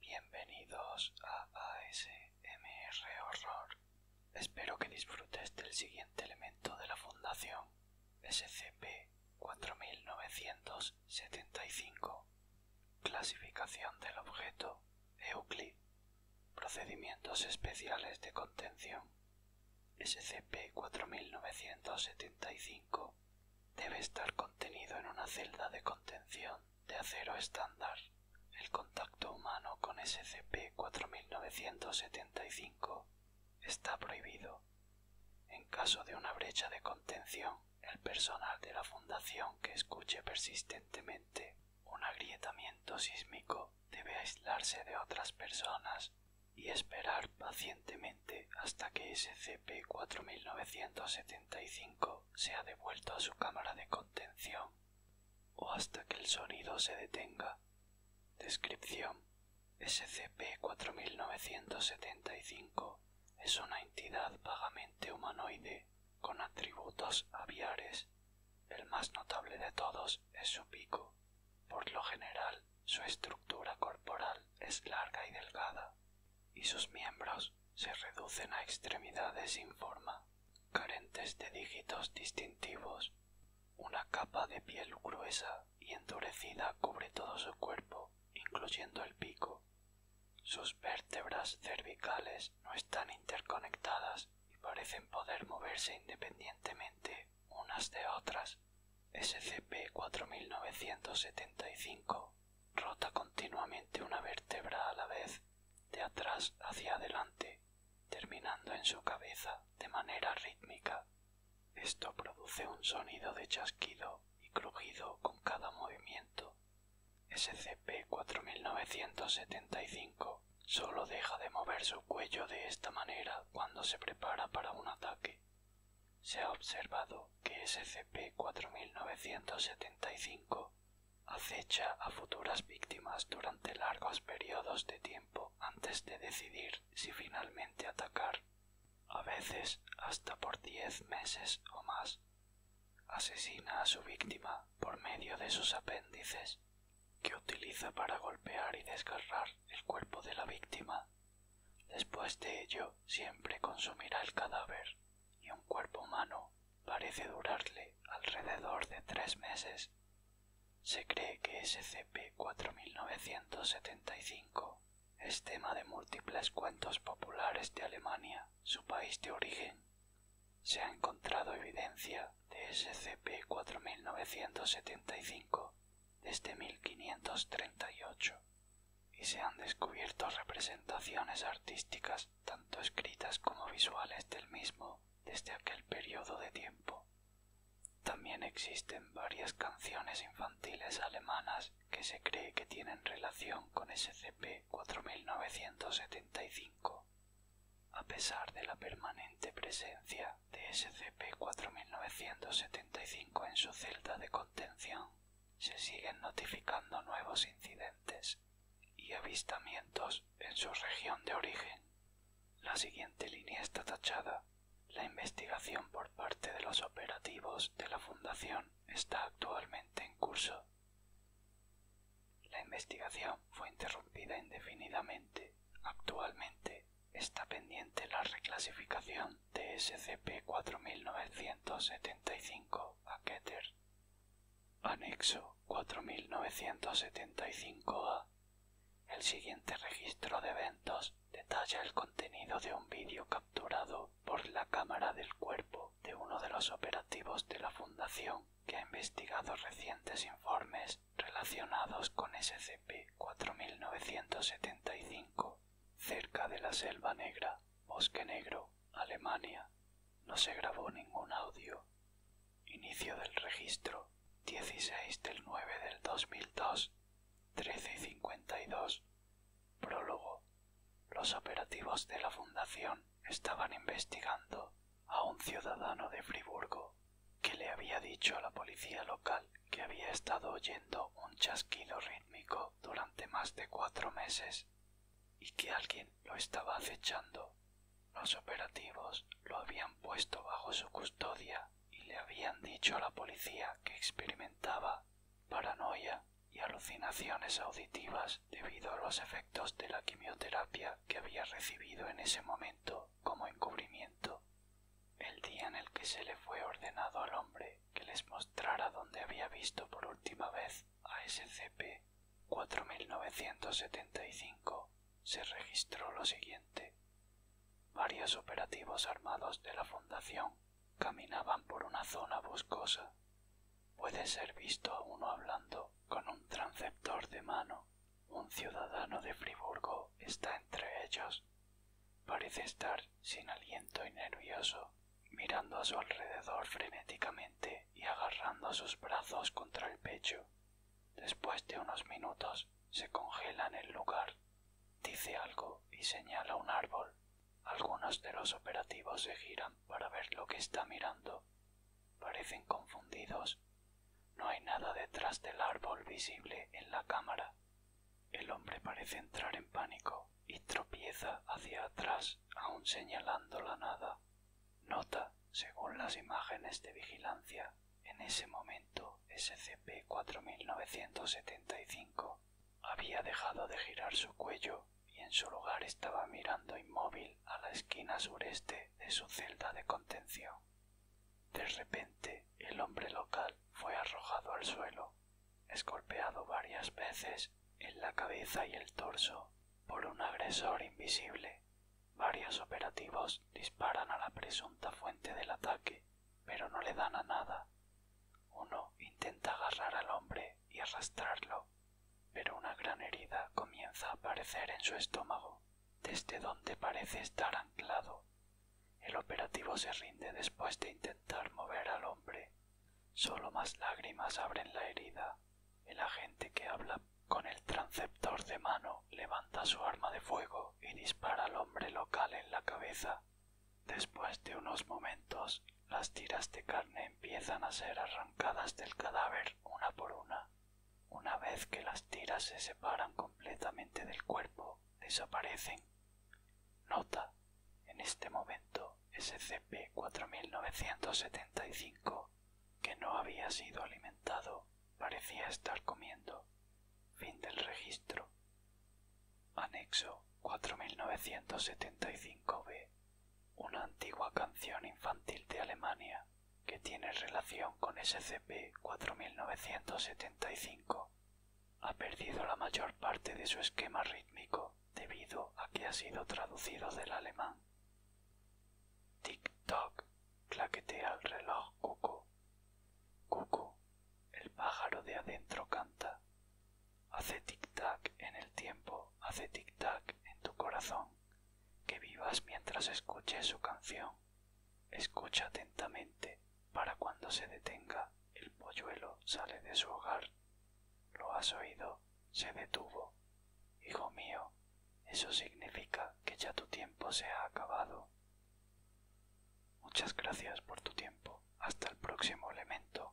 Bienvenidos a ASMR Horror. Espero que disfrutes del siguiente elemento de la Fundación SCP-4975. Clasificación del objeto Euclid Procedimientos especiales de contención. SCP-4975 debe estar contenido en una celda de contención de acero estándar. El contacto humano con SCP-4975 está prohibido. En caso de una brecha de contención, el personal de la Fundación que escuche persistentemente un agrietamiento sísmico debe aislarse de otras personas y esperar pacientemente hasta que SCP-4975 sea devuelto a su cámara de contención o hasta que el sonido se detenga. Descripción SCP-4975 es una entidad vagamente humanoide con atributos aviares el más notable de todos es su pico. Por lo general, su estructura corporal es larga y delgada, y sus miembros se reducen a extremidades sin forma, carentes de dígitos distintivos. Una capa de piel gruesa y endurecida cubre todo su cuerpo, incluyendo el pico. Sus vértebras cervicales no están interconectadas y parecen poder moverse independientemente unas de otras. SCP-4975 rota continuamente una vértebra a la vez, de atrás hacia adelante, terminando en su cabeza de manera rítmica. Esto produce un sonido de chasquido y crujido con cada movimiento. SCP-4975 Solo deja de mover su cuello de esta manera cuando se prepara para un ataque. Se ha observado que SCP-4975 acecha a futuras víctimas durante largos periodos de tiempo antes de decidir si finalmente atacar, a veces hasta por diez meses o más. Asesina a su víctima por medio de sus apéndices que utiliza para golpear y desgarrar el cuerpo de la víctima. Después de ello, siempre consumirá el cadáver y un cuerpo humano parece durarle alrededor de tres meses. Se cree que SCP-4975 es tema de múltiples cuentos populares de Alemania, su país de origen, se ha encontrado evidencia de SCP-4975 desde 1538 y se han descubierto representaciones artísticas tanto escritas como visuales del mismo desde aquel periodo de tiempo. También existen varias canciones infantiles alemanas que se cree que tienen relación con SCP-4975. A pesar de la permanente presencia de SCP-4975 en su celda de contención, se siguen notificando nuevos incidentes y avistamientos en su región de origen. La siguiente línea está tachada. La investigación por parte de los operativos de la Fundación está actualmente en curso. La investigación fue interrumpida indefinidamente. Actualmente está pendiente la reclasificación de SCP-4975 a Keter. Anexo 4975A. El siguiente registro de eventos detalla el contenido de un vídeo capturado por la cámara del cuerpo de uno de los operativos de la Fundación que ha investigado recientes informes relacionados con SCP-4975 cerca de la Selva Negra, Bosque Negro, Alemania. No se grabó ningún audio. Inicio del registro 16 del 9 del 2002, 13 y 52. Prólogo. Los operativos de la Fundación estaban investigando a un ciudadano de Friburgo que le había dicho a la policía local que había estado oyendo un chasquido rítmico durante más de cuatro meses y que alguien lo estaba acechando. Los operativos lo habían puesto bajo su custodia y le habían dicho a la policía que experimentaba paranoia y alucinaciones auditivas debido a los efectos de la quimioterapia que había recibido en ese momento como encubrimiento. El día en el que se le fue ordenado al hombre que les mostrara dónde había visto por última vez a SCP-4975 se registró lo siguiente. Varios operativos armados de la Fundación caminaban por una zona boscosa puede ser visto uno hablando con un transceptor de mano. Un ciudadano de Friburgo está entre ellos. Parece estar sin aliento y nervioso, mirando a su alrededor frenéticamente y agarrando sus brazos contra el pecho. Después de unos minutos se congela en el lugar, dice algo y señala un árbol. Algunos de los operativos se giran para ver lo que está mirando. Parecen confundidos. No hay nada detrás del árbol visible en la cámara. El hombre parece entrar en pánico y tropieza hacia atrás, aun señalando la nada. Nota, según las imágenes de vigilancia, en ese momento SCP-4975 había dejado de girar su cuello y en su lugar estaba mirando inmóvil a la esquina sureste de su celda de contención. De repente el hombre local fue arrojado al suelo, escolpeado varias veces en la cabeza y el torso por un agresor invisible. Varios operativos disparan a la presunta fuente del ataque, pero no le dan a nada. Uno intenta agarrar al hombre y arrastrarlo pero una gran herida comienza a aparecer en su estómago, desde donde parece estar anclado. El operativo se rinde después de intentar mover al hombre. Solo más lágrimas abren la herida. El agente que habla con el transceptor de mano levanta su arma de fuego y dispara al hombre local en la cabeza. Después de unos momentos, las tiras de carne empiezan a ser arrancadas del cadáver una por una. Una vez que las tiras se separan completamente del cuerpo, desaparecen. Nota, en este momento SCP-4975, que no había sido alimentado, parecía estar comiendo. Fin del registro. Anexo 4975-B una antigua canción infantil de Alemania que tiene relación con SCP-4975. Ha perdido la mayor parte de su esquema rítmico debido a que ha sido traducido del alemán. Tic-toc, claquetea el reloj cuckoo cuckoo el pájaro de adentro canta. Hace tic-tac en el tiempo, hace tic-tac en tu corazón que vivas mientras escuches su canción. Escucha atentamente para cuando se detenga el polluelo sale de su hogar. Lo has oído, se detuvo. Hijo mío, eso significa que ya tu tiempo se ha acabado. Muchas gracias por tu tiempo. Hasta el próximo elemento.